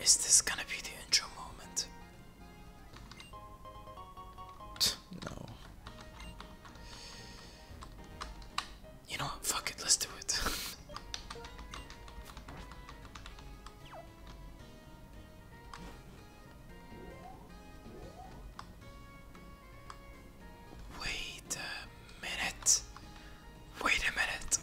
Is this gonna be the intro moment? no. You know Fuck it, let's do it. Wait. Uh, Wait a minute.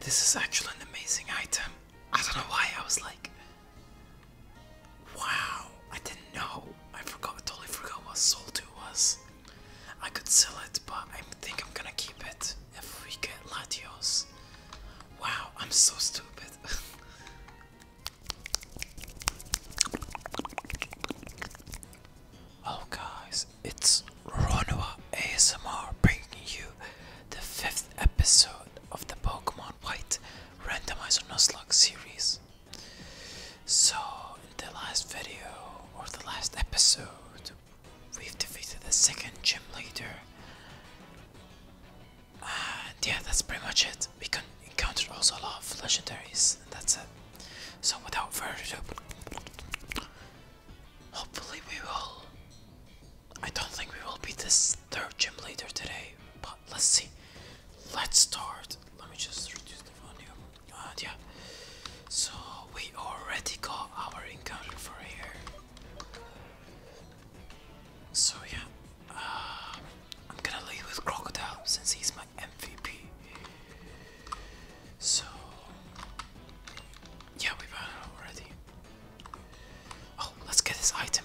This is actually an amazing item. I don't know why I was like, wow, I didn't know. I forgot, totally forgot what Soul 2 was. I could sell it, but I think I'm gonna keep it if we get Latios. Wow, I'm so stupid. Hello oh, guys, it's Ronua ASMR bringing you the fifth episode of the Pokemon White Randomizer Nuzlocke series. So, in the last video or the last episode, we've defeated the second gym leader uh, yeah, that's pretty much it. We can encounter also a lot of legendaries, and that's it. So without further ado, hopefully we will. I don't think we will beat this third gym leader today, but let's see. Let's start. Let me just reduce the volume. Uh, yeah. So we already got our encounter for here. So yeah, uh, I'm gonna leave with Crocodile since he's my MVP. So, yeah, we bought it already. Oh, let's get this item.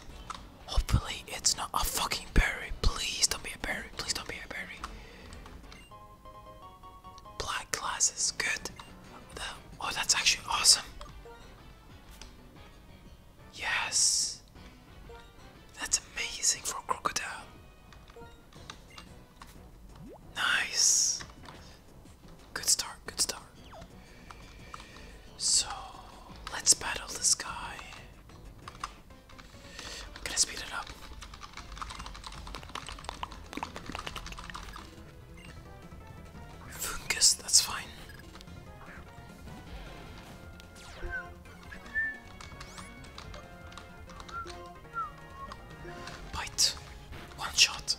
Hopefully, it's not a fucking berry. Please don't be a berry. Please don't be a berry. Black glasses, good. oh, that's actually awesome. Yes. That's amazing for crocodile. Nice. Good start, good start. So, let's battle this guy. I'm gonna speed it up. Fungus, that's fine. Bite. One shot.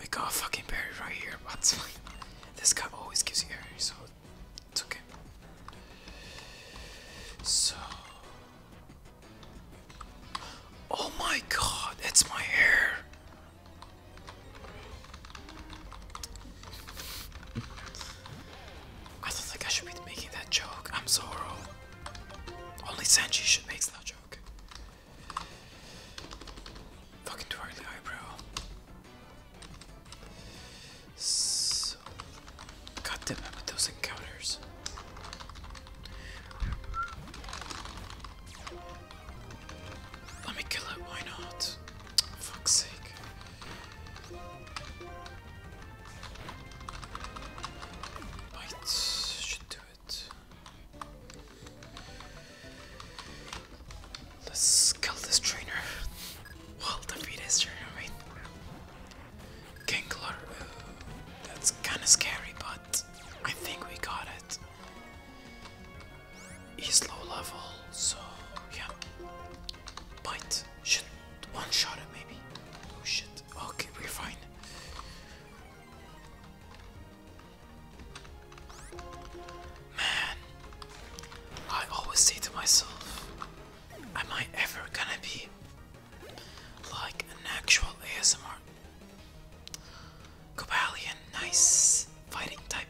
We got a fucking berry right here, but this guy always gives you berries, so it's okay. So Oh my god, it's my hair. I don't think I should be making that joke. I'm Zoro. Only Sanji should make that joke. Fucking too eyebrow. So, God damn it with those encounters. Let me kill it, why not? Fuck's sake. Bite should do it. Let's kill this trainer. Well, defeat his trainer, right? Kingler, that's kinda scary, but I think we got it. He's low level, so yeah. Bite. Should one shot it maybe. Oh shit. Okay, we're fine. Man, I always say to myself, am I ever gonna be like an actual ASMR Cobalion, nice fighting type.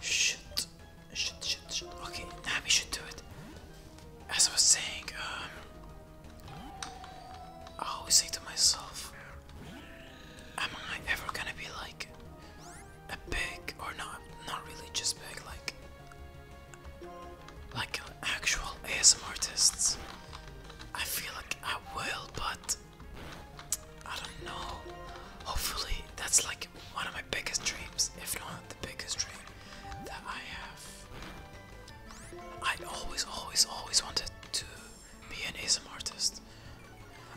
Shit, shit, shit, shit. Okay, Nami should do it. As I was saying, um, I always say to myself, am I ever gonna be like a big or not? Not really, just big, like, like actual ASM artists. I feel like I will, but I don't know. Hopefully, that's like one of my biggest dreams, if not the biggest dream that I have. I always, always, always wanted to be an ASMR artist.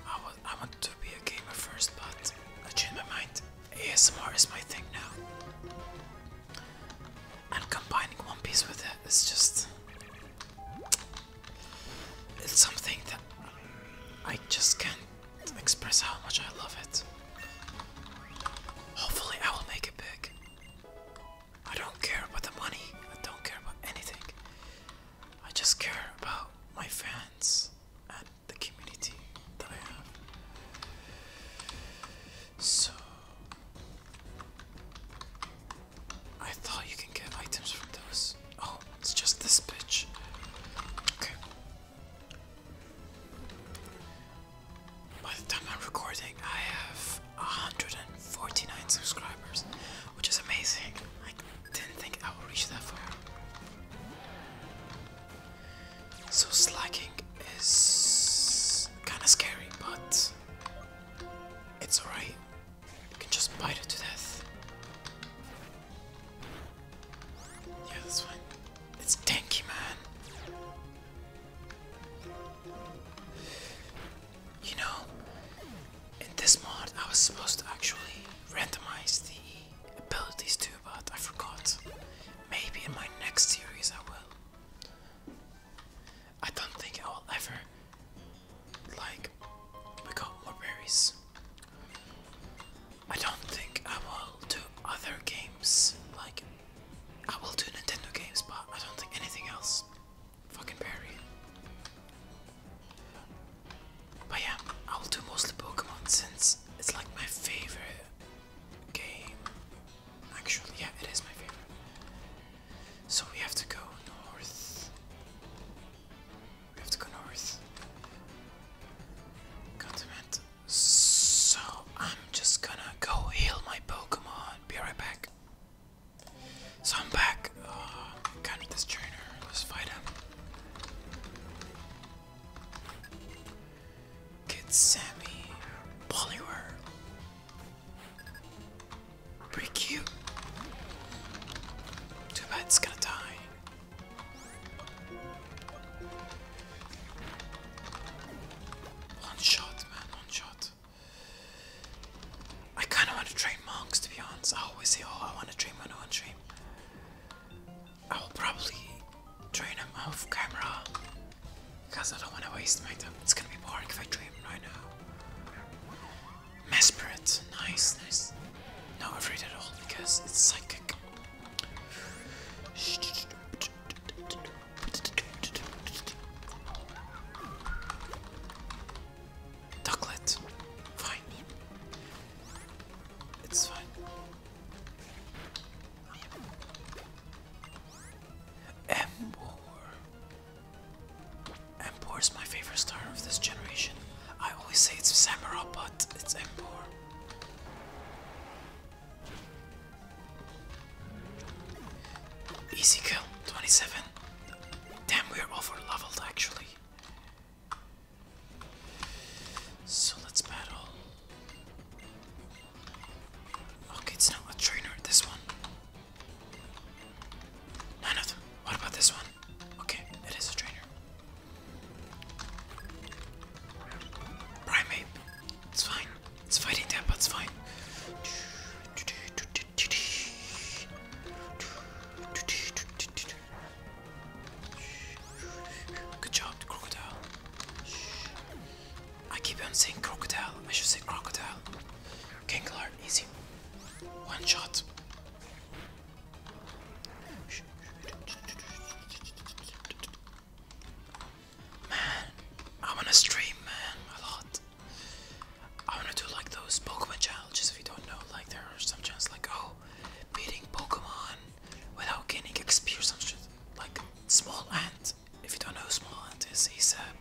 I, was, I wanted to be a gamer first, but I changed my mind. ASMR is my thing now. And combining One Piece with it is just. It's something that I just can't express how much I love it. Hopefully, I will make it big. I don't care about the money, I don't care about anything. I just care about my fans and the community that I have. So. I thought you can get items from those. Oh, it's just this bitch. Okay. By the time I'm recording, I have 149 subscribers, which is amazing. I didn't think I would reach that far. So slacking is kind of scary, but it's alright. You can just bite it to death. Yeah, this one. It's tanky, man. You know, in this mod, I was supposed to actually randomize the abilities too, but I forgot. Maybe in my next series I will. I don't think I will ever like we got more berries. I don't think I will do other games like I will do Nintendo games, but I don't think anything else. Fucking berry. But yeah, I will do mostly Pokemon since it's like my favorite game. Actually, yeah, it is my favorite. So we have to go north. We have to go north. Continent. So I'm just gonna go heal my Pokemon. Be right back. So I'm back. Uh, counter this trainer. Let's fight him. Kid Sammy. Poliwhirl. Pretty cute. Too bad it's gonna die. One shot, man, one shot. I kinda wanna train monks to be honest. I always say, oh, I wanna train I wanna train. I will probably train him off camera because I don't want to waste my time. It's gonna be boring if I dream right now. Mesperate. Nice, nice. No, afraid at all because it's psychic. Ducklet. Fine. It's fine. M is my favorite star of this generation. I always say it's Samurai, but it's Empor. Easy kill, 27. Damn, we're over leveled actually. So let's battle. Okay, it's not a trainer, this one. None What about this one? Okay, it is a trainer. Primate. It's fine. It's fighting that, but it's fine. Good job, crocodile. I keep on saying crocodile. I should say crocodile. Gengar, easy. One shot. Man, I wanna stream, man, a lot. I wanna do like those Pokemon challenges if you don't know. Like, there are some challenges like, oh, beating Pokemon without gaining experience. I'm shit. Like, Small Ant. If you don't know Small Ant is, he's uh,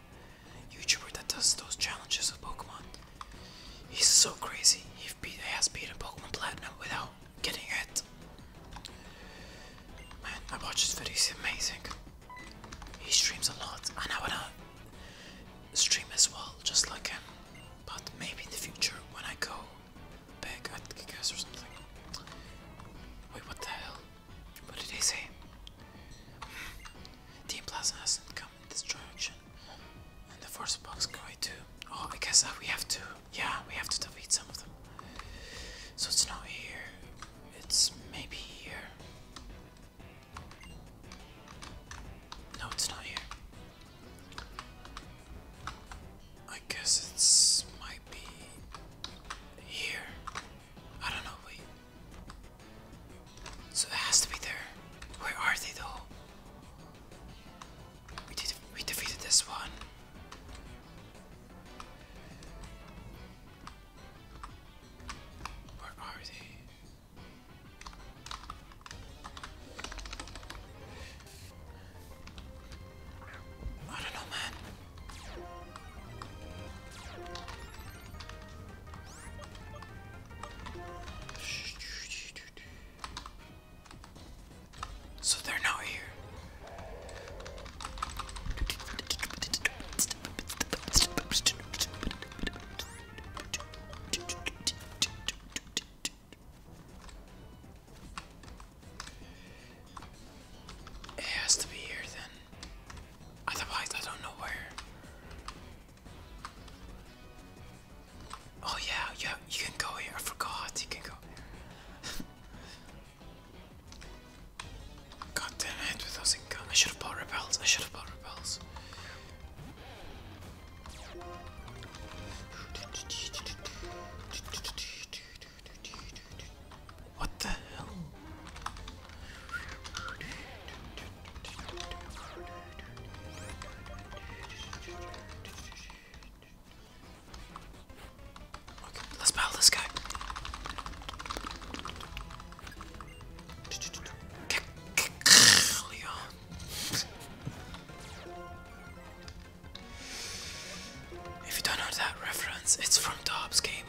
YouTuber that does those challenges with Pokemon. He's so crazy. He has beat, has beaten Pokemon Platinum without getting it. Man, I watch his videos. He's amazing. He streams a lot, and I wanna stream as well, just like him. But maybe in the future, when I go big, at guess or something. Wait, what the hell? What did he say? Team Plasma hasn't come in this direction. And the force box going too. Oh, I guess uh, we have to. Yeah, we have to defeat some of them. So it's not here. It's maybe here. No, it's not here. I guess it's might be here. I don't know, So it has to be there. Where are they though? We did we defeated this one. Where are they? I don't know, man. So they're not here. It has to be here then. Otherwise, I don't know where. Oh yeah, yeah, you can go here. I forgot you can go. God damn it, with income. I should have bought repels. I should have bought repels. What the hell? let's battle this guy. If you don't know that reference, it's from Dobbs Gaming.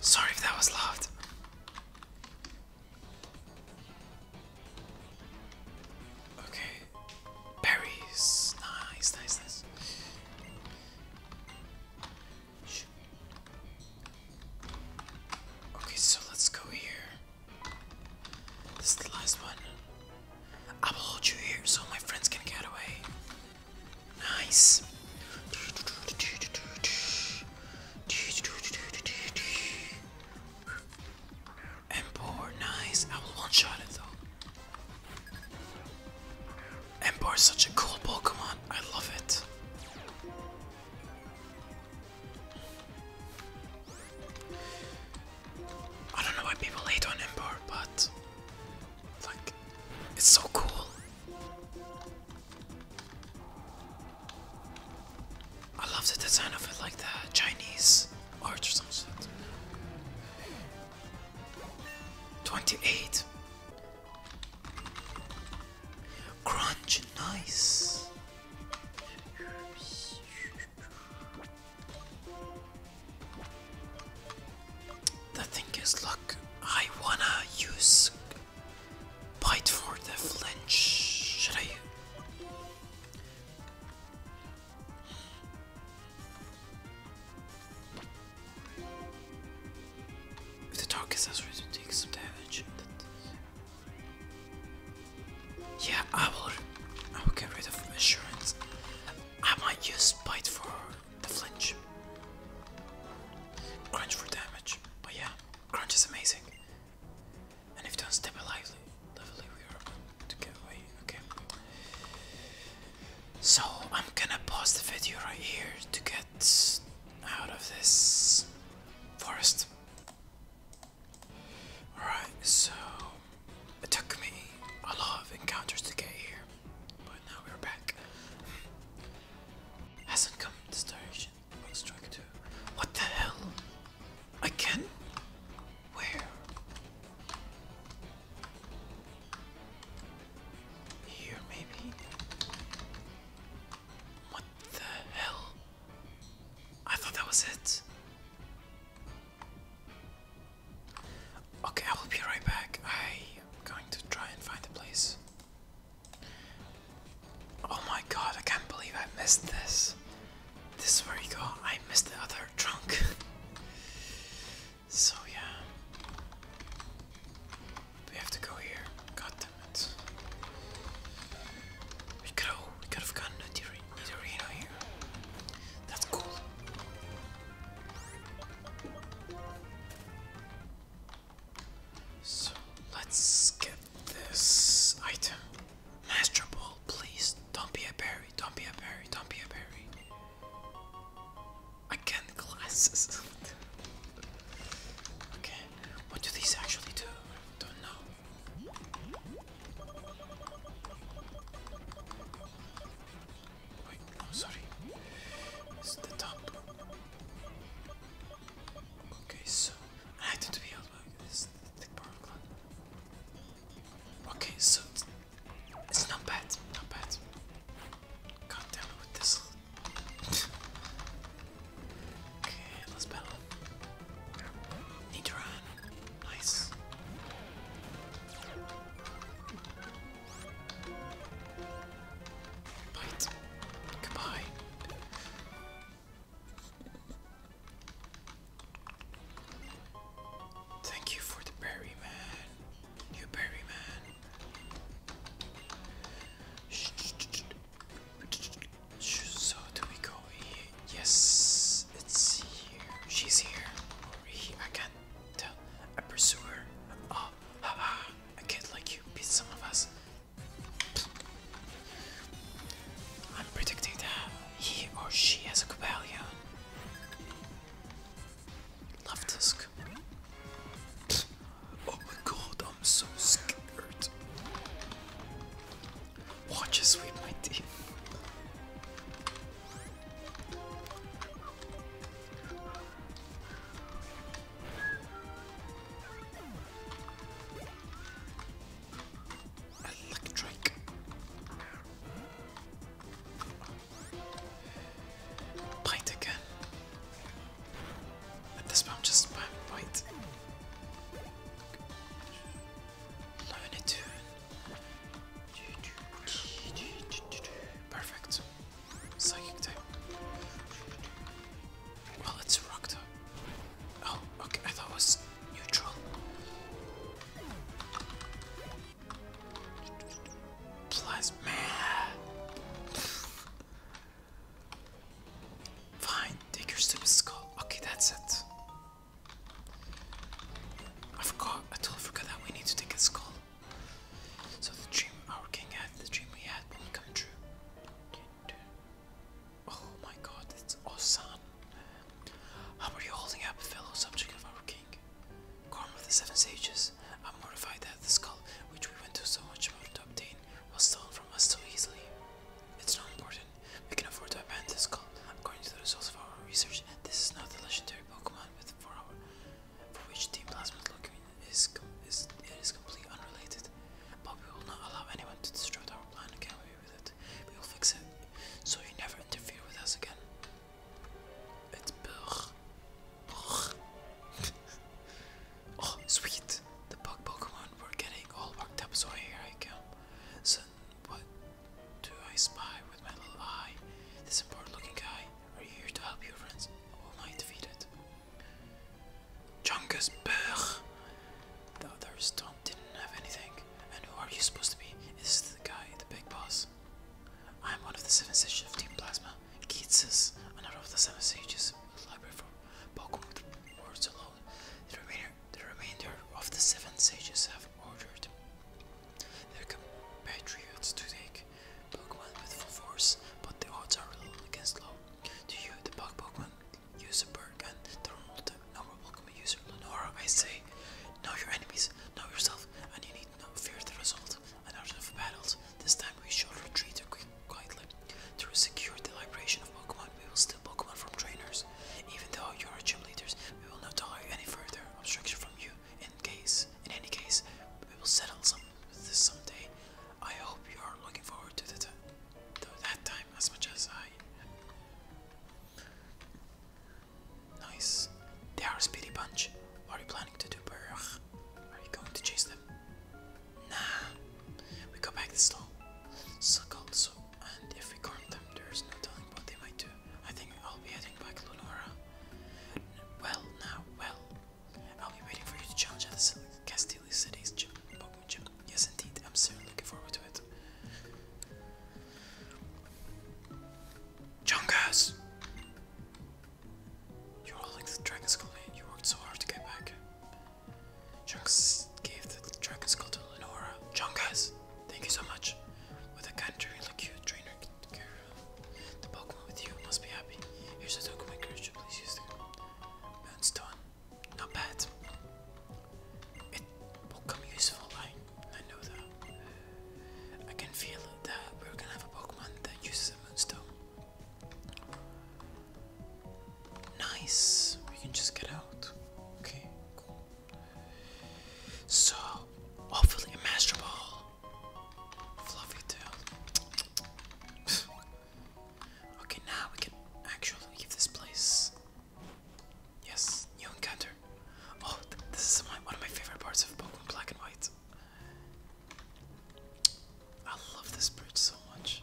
Sorry if that was loud. Okay, berries. Nice, nice, nice. Okay, so let's go here. This is the last one. I will hold you here so my friends can get away. Nice. And nice. I will one shot it though. Empor is such a cool Pokemon. I love it. I don't know why people hate on Ember, but like it's so cool. I love the design of it, like the Chinese art or something. 28. Crunch, nice. The thing is, look, I wanna use bite for the flinch. Should I? If the target ready to take some damage, yeah, I will. I will get rid of insurance. I might use bite for the flinch. Crunch for damage. But yeah, crunch is amazing. And if you don't step lively, lively we are to get away. Okay. So I'm gonna pause the video right here to get out of this forest. Alright, so it took me a lot of encounters to get here, but now we're back. Hasn't come this direction. What What the hell? Again? Where? Here maybe? What the hell? I thought that was it. Okay, I will be right back. I am going to try and find a place. Oh my god, I can't believe I missed this. This is where you go. I missed the other trunk. so yeah. We have to go here. God damn it. We could have, we could have gotten a Dorino here. That's cool. So let's get this item. Master Ball, please. Don't be a berry. Don't be a berry. Don't be a berry. Again, glasses. okay, what do these actually do? don't know. Wait, oh sorry. It's the top. Okay, so I need to be able to this the power clan. Okay, so it's, not bad, not bad. God damn with this. okay, let's battle. Need to run. Nice. Bite. Goodbye. Thank you for the berry, man. You berry, man. So do we go here? Yes, it's here. She's here. Or he I can't Tell a pursuer. Oh, a kid like you beat some of us. I'm predicting that he or she has a Cobalion. Love Tusk. Oh my god, I'm so scared. Watch us sweep my team. Electric. Bite again. At this point, I'm just bite. Learn it to Perfect. Psychic type. Well, it's rock type. Oh, okay. I thought it was neutral. Plasma. Fine, take your stupid skull. Okay, that's it. I forgot. I totally forgot that we need to take a skull. So the dream our king had, the dream we had won't come true. Oh my god, it's Osan. How are you holding up, fellow subject of our king? Corn of the Seven Sages, I'm mortified that the skull, which we went to so much trouble to obtain, was stolen from us so easily. It's not important. We can afford to abandon the skull. According to the results of our research, this is not the legendary Pokemon with for our for which Team Plasma's looking is, is, it is completely unrelated. But we will not allow anyone to disrupt our plan and get away with it. We will fix it, so you never interfere with us again. It's burr. Burr. oh, sweet. The bug Pokemon were getting all worked up, so here I come. So, what? Do I spy with my little eye? This important looking guy. Are you here to help your friends? Or am I defeated? Jungus Berg! The others don't didn't have anything. And who are you supposed to be? Is this the guy, the big boss? I'm one of the seven sages of Team Plasma. Keatsus, another of the seven sages. Library from Pokemon words alone. The remainder the remainder of the seven sages have ordered their compatriots to take Pokemon with full force, but the odds are little against low. To you, the bug Pokemon user Berg and the normal Pokemon user Lenora, I say, know your enemies, know yourself, and you need not fear the result. An art of battles. This time we shall retreat quietly. To secure the liberation of Pokemon, we will steal Pokemon from trainers. Even though you are gym leaders, we will not tolerate any further obstruction from you. In case, in any case, we will settle some with this someday. I hope you are looking forward to, the that time as much as I Nice. They are a speedy bunch. What are you planning to do, Berg? Are you going to chase them? Nah. We go back to the slow. Suck also, and if we corner them, there's no telling what they might do. I think I'll be heading back to Lunora. Well, now, well. I'll be waiting for you to challenge at the Castile City's gym, Pokemon Gym. Yes, indeed. I'm certainly looking forward to it. Chungus! You're holding the Dragon Skull and you worked so hard to get back. Chungus gave the Dragon Skull to Lenora. Chungus! Thank you so much. With a kind, and you trainer the Pokemon with you must be happy. Here's a token encourage please use it. Moonstone. Not bad. It will come useful, I I know that. I can feel that we're gonna have a Pokemon that uses a moonstone. Nice! We can just get out. Okay, cool. So, hopefully a Master Ball. Fluffy tail. okay, now we can actually give this place. Yes, new encounter. Oh, this is my, one of my favorite parts of Pokemon Black and White. I love this bridge so much.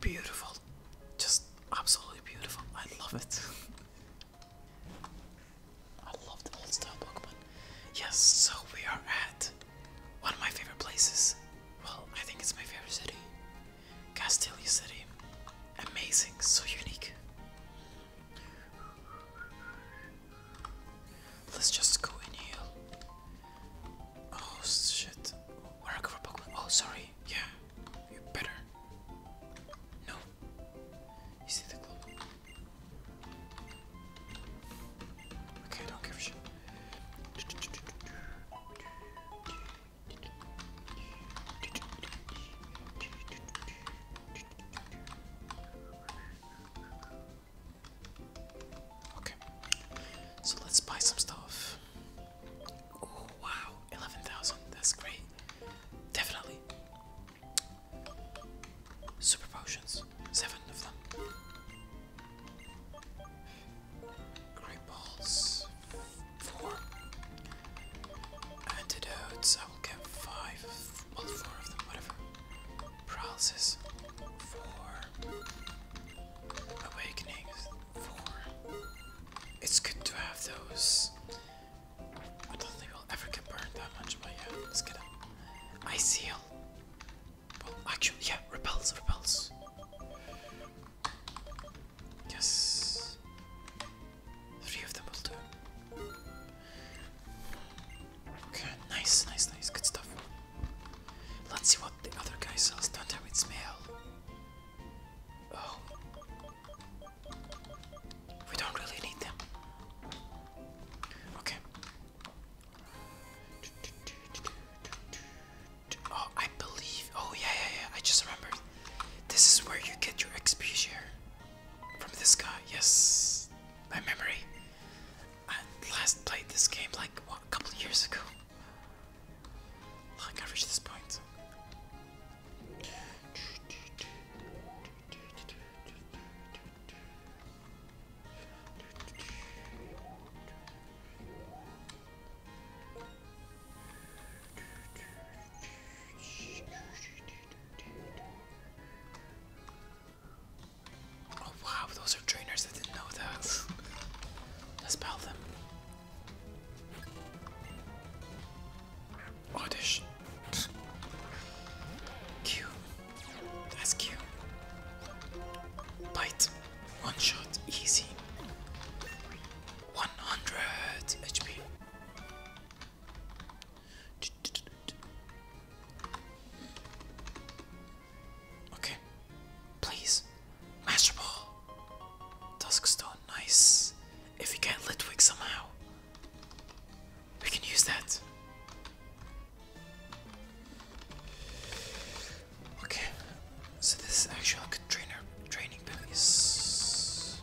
Beautiful. Just absolutely beautiful. I love it. I love the old style Pokemon. Yes, so we are at one of my favorite places. Well, I think it's my favorite city. Castelia City. Amazing, so unique. Let's just go in here. Oh shit. Where I Pokemon? Oh sorry right? Yeah, you better. No. You see the globe? Okay, don't give a shit. Okay, so let's buy some stuff wow, 11,000. That's great. Definitely. Super potions. Seven of them. Great balls. Four. Antidotes. I will get five. Well, four of them, whatever. Paralysis. Four. Awakenings. Four. It's good to have those. I don't think I'll ever get burned that much, but yeah, let's get a ice heal. Well, actually, yeah, repels, repels. Yes. Three of them will do. Okay, nice, nice, nice, good stuff. Let's see what the other guy sells. Don't have it smell. Oh. We don't really need them. Okay. Oh, I believe. Oh, yeah, yeah, yeah. I just remembered. This is where you get your XP From this guy. Yes. My memory. I last played this game like a couple years ago. Look, I've reached this point. Oh wow, those are trainers. I didn't know that. let them. Audition. Oh, Q. That's Q. Bite. One shot. Easy. 100 HP. Okay. Please. Masterball, Ball. Duskstone, nice. If we get Litwick somehow, we can use that. Okay, so this is actually a trainer training piece.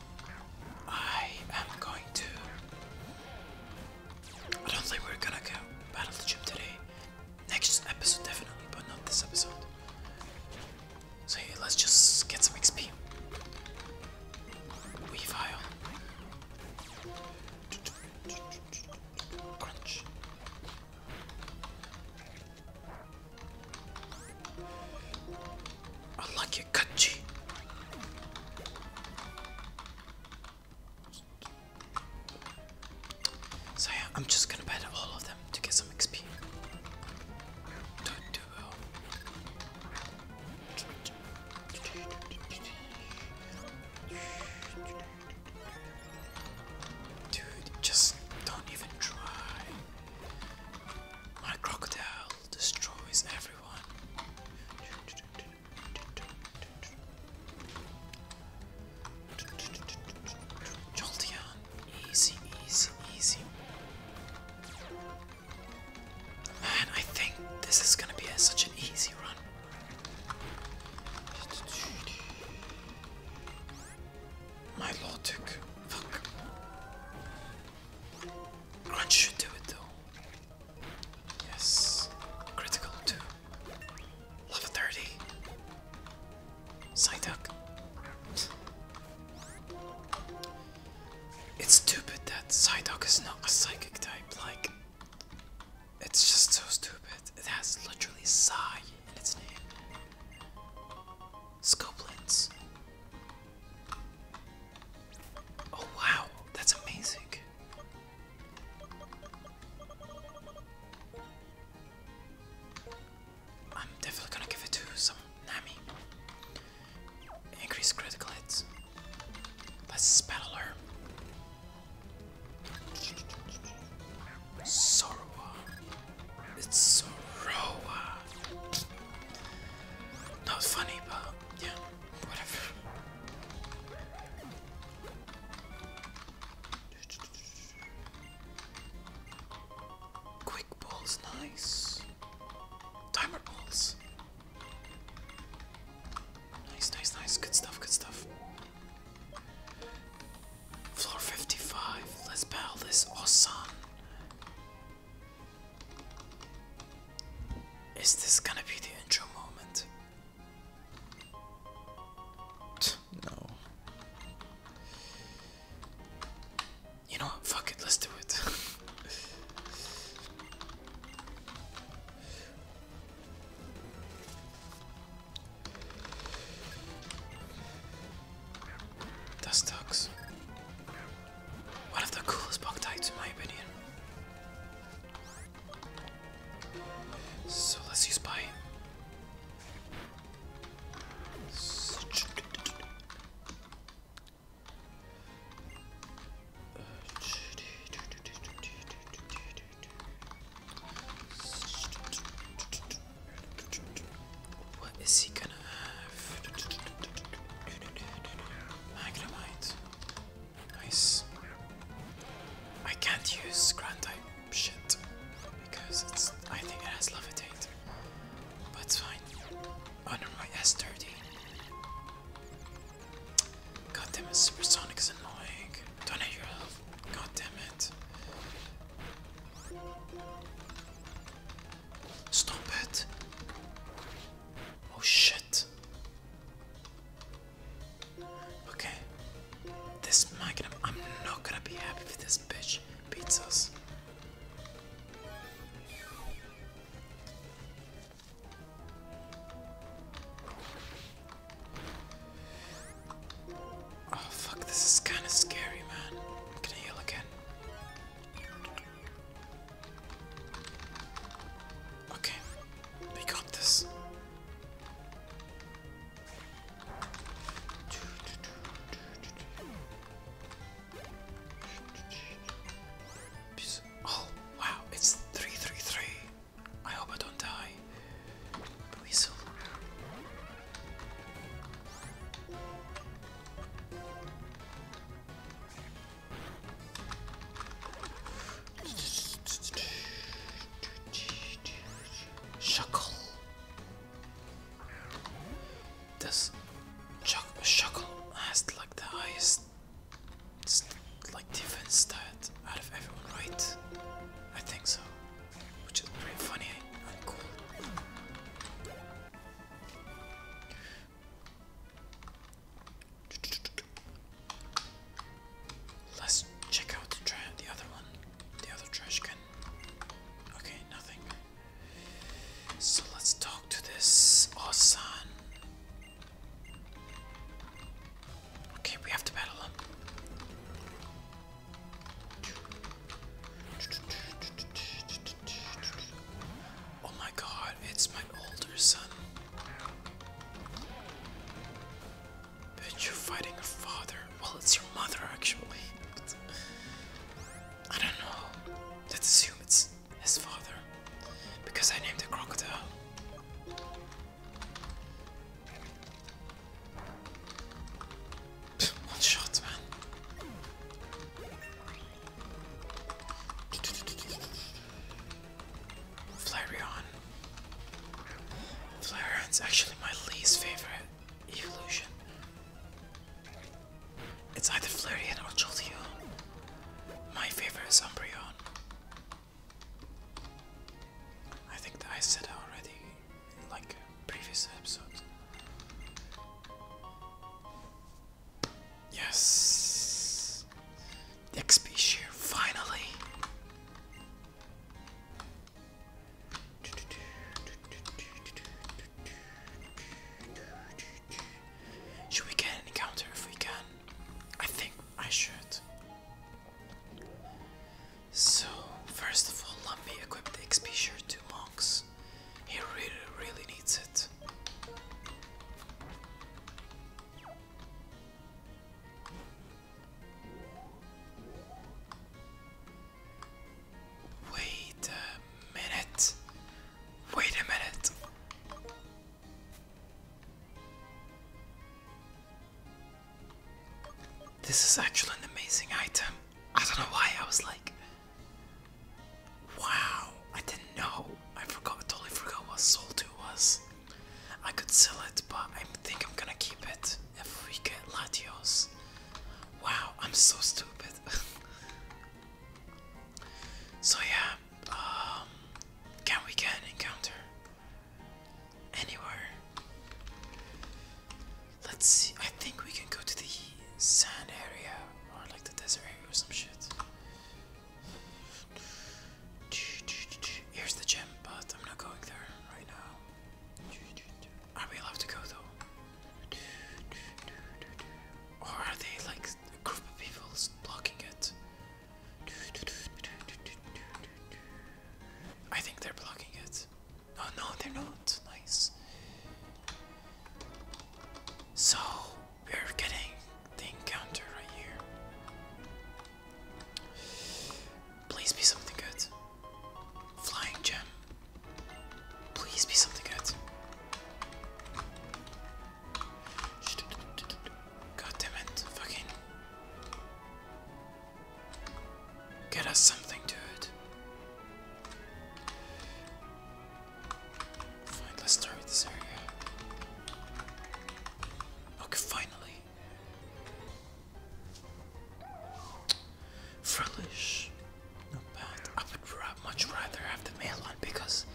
I am going to. I don't think we're gonna go battle the gym today. Next episode, definitely, but not this episode. So yeah, let's just get some XP. Weavile. Crunch. I like your kachi. So yeah, I'm just gonna bet all of that to get some XP. Dude, just don't even try. My crocodile destroys everyone. Jolteon, Easy, easy, easy. Man, I think this is gonna be such an easy run. My logic. Crunch should do it though. Yes. Critical too. Level 30. Psyduck. It's stupid that Psyduck is not a psychic type, like, it's just so stupid. It has literally Psy in its name. Scoblins. Oh wow, that's amazing. I'm definitely gonna give it to some Nami. Increase critical hits. Let's spell her. Sorowa. It's Sorowa. Not funny, but yeah, whatever. Quick balls, nice. Timer balls. Nice, nice, nice. Good stuff, good stuff. Floor 55. Let's battle this awesome. Is this gonna be the intro moment? No. You know what? Fuck it. Let's do it. that sucks. One of the coolest bug types, in my opinion. So let's use bite. What is he gonna have? Magnemite. Nice. I can't use Grand shit because it's I think it has levitate. But it's fine. Under oh, my mind, S30. God damn it, supersonic is annoying. Don't hit your health. God damn it. Stop it. Oh shit. Okay. This magnum, I'm not gonna be happy if this bitch beats us. Oh fuck, this is kind of scary, man. Can I heal again? Okay, we got this. Oh, wow, it's 333. I hope I don't die. Weasel. Shuckle. This Shuckle has like the highest like defense stat out of everyone, right? I think so. Which is pretty funny and cool. Let's check out the, the other one, the other trash can. Okay, nothing. So let's talk to this Osan. Okay, we have to battle him. Oh my god, it's my older son. But you're fighting your father. Well, it's your mother, actually. I don't know. Let's assume it's his father. Because I named the crocodile. One shot, man. Flareon. Flareon's actually my least favorite evolution. It's either Flareon or Jolteon. My favorite is Umbreon. I think that I said that already in like previous episodes. Yes! XP share finally! Should we get an encounter if we can? I think I should. So, first of all, let me equip the XP shirt to Monks. He really, really needs it. Wait a minute. Wait a minute. This is actually an amazing item. I don't know why I was like, wow, I didn't know. I forgot, totally forgot what Soul 2 was. I could sell it, but I think I'm gonna keep it if we get Latios. Wow, I'm so stupid. so yeah, um, can we get encounter anywhere? Let's see. I think we can go to the sand area or like the desert area or some shit. Here's the gym, but I'm not going there right now. Are we allowed to go though? Or are they like a group of people blocking it? I think they're blocking it. Oh no, they're not. Nice. So we're getting the encounter right here. Please be something good. Flying gem. Please be something good. God damn it. Fucking. Get us something, dude. Fine, let's start with this area. Okay, finally. Frillish. Not bad. I would much rather have the male because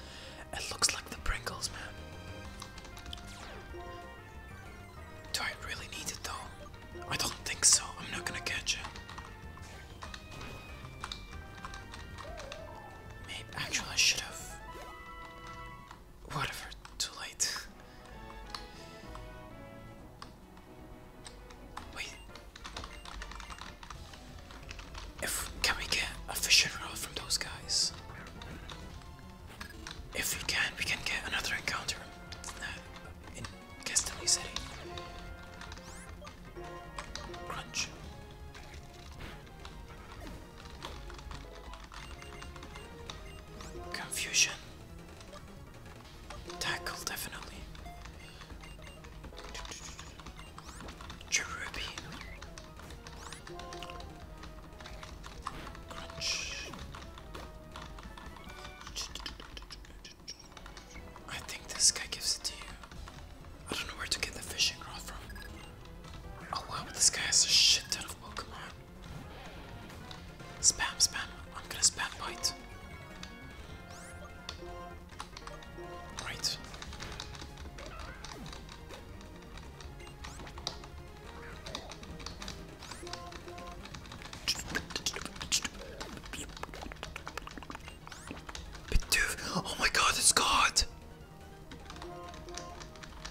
it looks like the Pringles, man. Do I really need it though? I don't think so. I'm not gonna catch it. Maybe actually I should have. Whatever. Too late. Wait. If can we get a fishing rod from those guys? If we can, we can get another encounter in Castelli uh, City. Crunch. Confusion. Tackle, definitely. Cherubi. Crunch. I think this guy gives it to you. I don't know where to get the fishing rod from. Oh wow, this guy has a shit ton of Pokemon. Spam, spam. I'm gonna spam bite. Right. Oh my god, it's God!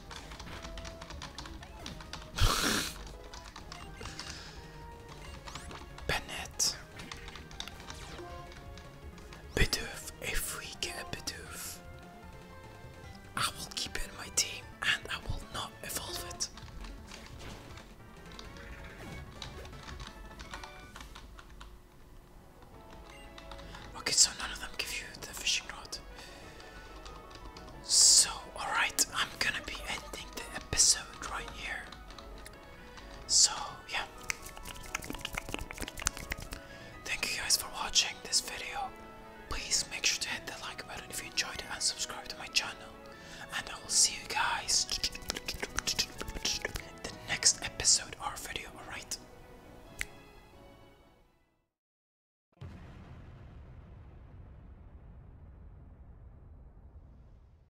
Bennett. Bidoof, if we get a I will keep it in my team and I will not evolve it. Okay, so none of them give you the fishing rod. So, alright, I'm gonna be ending the episode right here. So, yeah. Thank you guys for watching this video. Please make sure to hit the like button if you enjoyed it and subscribe to my channel. And I will see you guys in the next episode or video, alright?